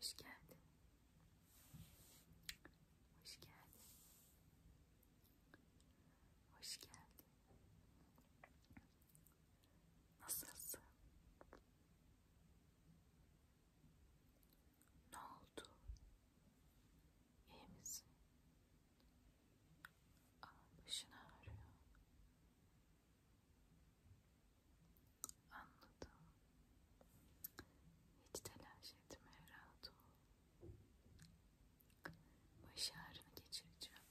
Hoş geldin. Hoş geldin. Hoş geldin. Nasılsın? Ne oldu? İyi misin? Aa, başın ağrıyor. Anladım. Hiç telaş etme, rahat ol. Baş ağrını geçireceğim.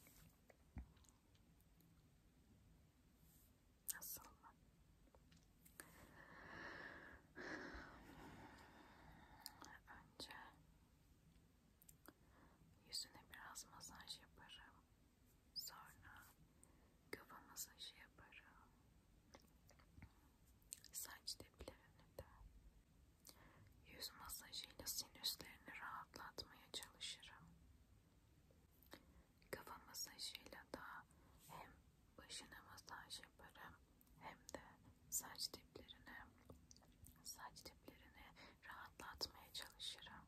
Nasıl mı? Önce yüzüne biraz masaj yaparım. Sonra kafa masajı şey yaparım. Saç diplerini de. Yüz masajıyla sinüslerini rahatlatmaya çalışırım. Kafa masajıyla da hem başına masaj yaparım hem de saç diplerine saç diplerini rahatlatmaya çalışırım.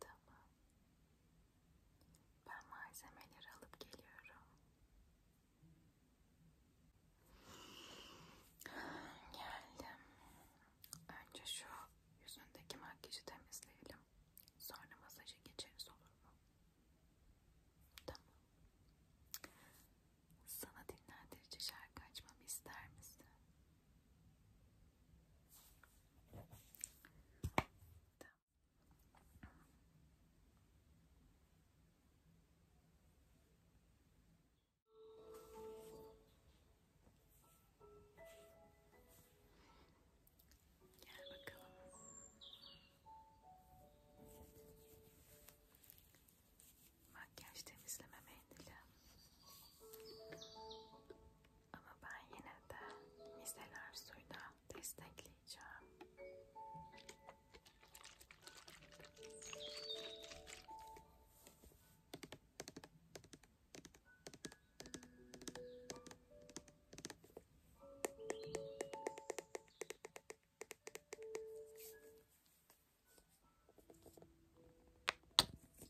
Tamam. Ben malzemeleri alıp geliyorum. Geldim. Önce şu yüzündeki makyajı temizleyelim. Sonra masaja geçeriz olur mu? Tamam. Sana dinlendirici şarkı açmamı ister misin? Makyaj temizleme mendili. Ama ben yine de miseler suyla destekleyeceğim.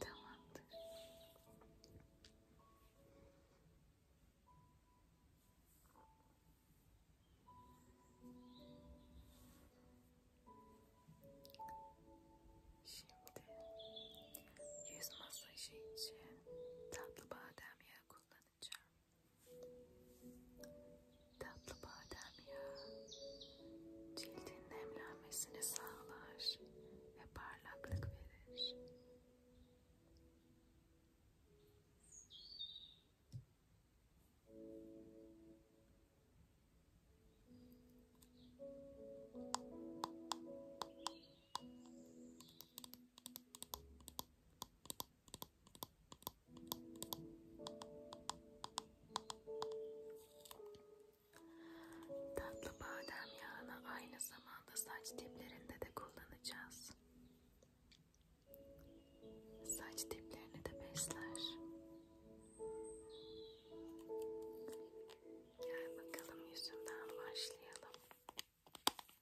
Tamamdır. Şimdi yüz masajı için tatlı badem yağı kullanacağım. sadece. Tatlı badem yağı cildin nemlenmesini sağlar ve parlaklık verir. Tatlı badem yağını aynı zamanda saç diplerinde de kullanacağız. Saç diplerini de besler. Gel bakalım yüzünden başlayalım.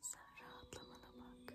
Sen rahatlamana bak.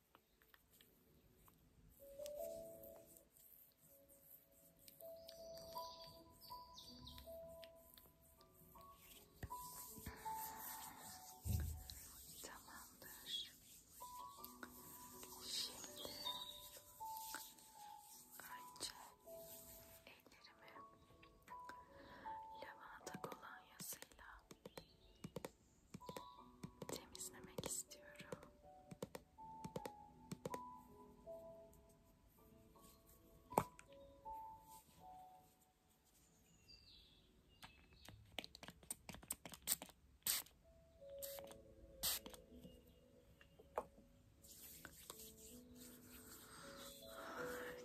Tamamdır. Şimdi önce ellerimi lavanta kolonyasıyla temizlemek istiyorum.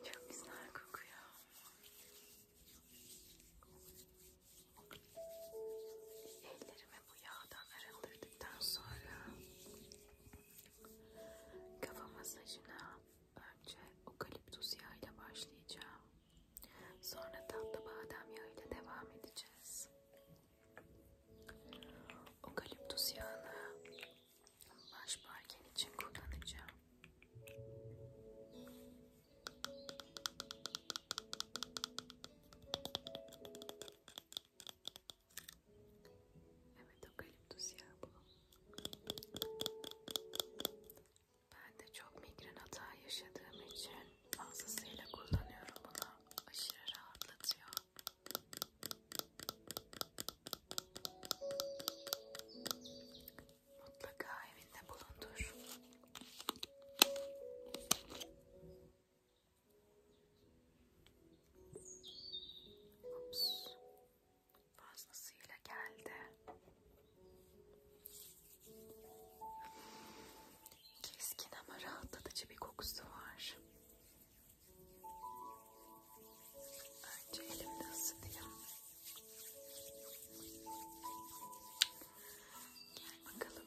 Çok güzel kokuyor. Ellerimi bu yağdan arındırdıktan sonra kafa masajına önce okaliptus yağı ile başlayacağım. Sonra tatlı badem yağı ile devam edeceğiz. Okaliptus yağını baş parken için kullanacağım. Evet okaliptus yağı bu. Ben de çok migren hata yaşadığım için fazlasıyla kullanıyorum bunu. Aşırı rahatlatıyor. Mutlaka evinde bulundur. Ups. Fazlasıyla geldi. Keskin ama rahatlatıcı bir kokusu var. Önce elimde ısıtayım. Gel bakalım.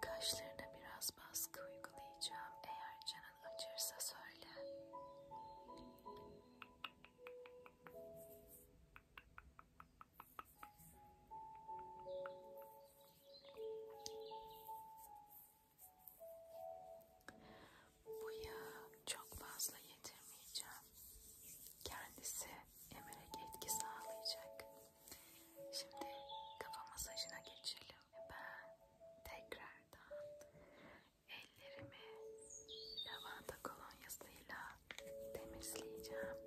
Kaşlarına biraz baskı uygulayacağım. Eğer canın acırsa söyle. Bu yağı çok fazla yedirmeyeceğim. Kendisi emerek etki sağlayacak. Şimdi kafa masajına geçelim. Ben tekrardan ellerimi lavanta kolonyasıyla temizleyeceğim.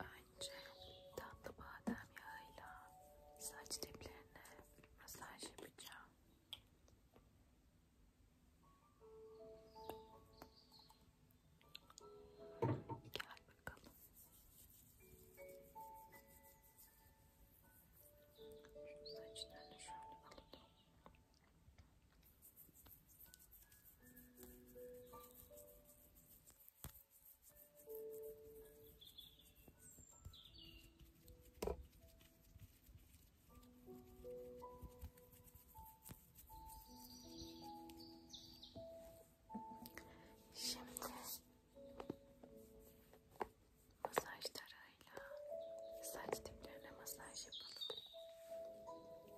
Bence tatlı badem yağıyla saç diplerine masaj yapacağım. Gel bakalım. Şu saçlarını şöyle alalım. Şimdi masaj tarağıyla saç diplerine masaj yapalım.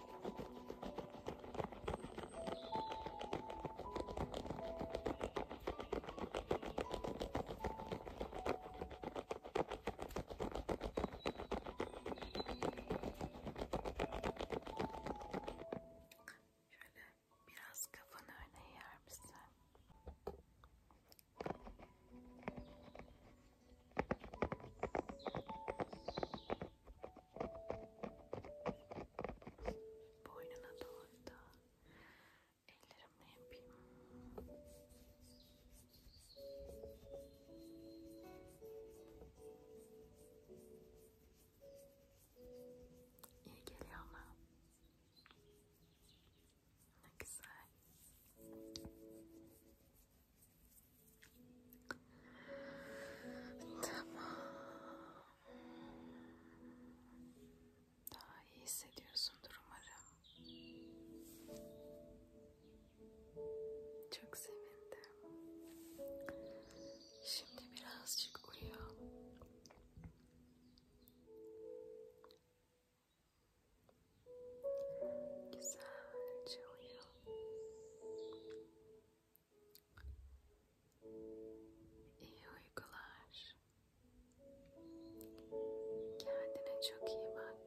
Şöyle biraz kafanı öne yer misin? Boynuna doğru da ellerimle yapayım. İyi geliyor ama. Ne güzel. Tamam. Daha iyi hissediyorsundur umarım. Çok sevindim. Şimdi birazcık uyu. Güzelce uyu. İyi uykular. Kendine çok iyi bak.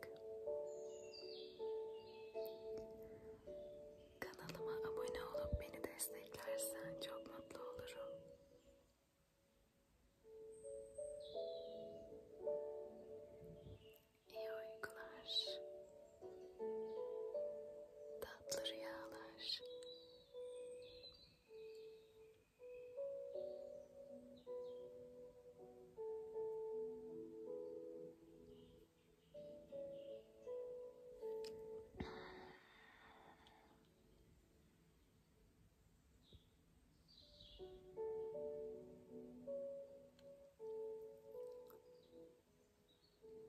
Kanalıma abone olup beni desteklersen çok mutlu olurum. İyi uykular tatlı rüyalar.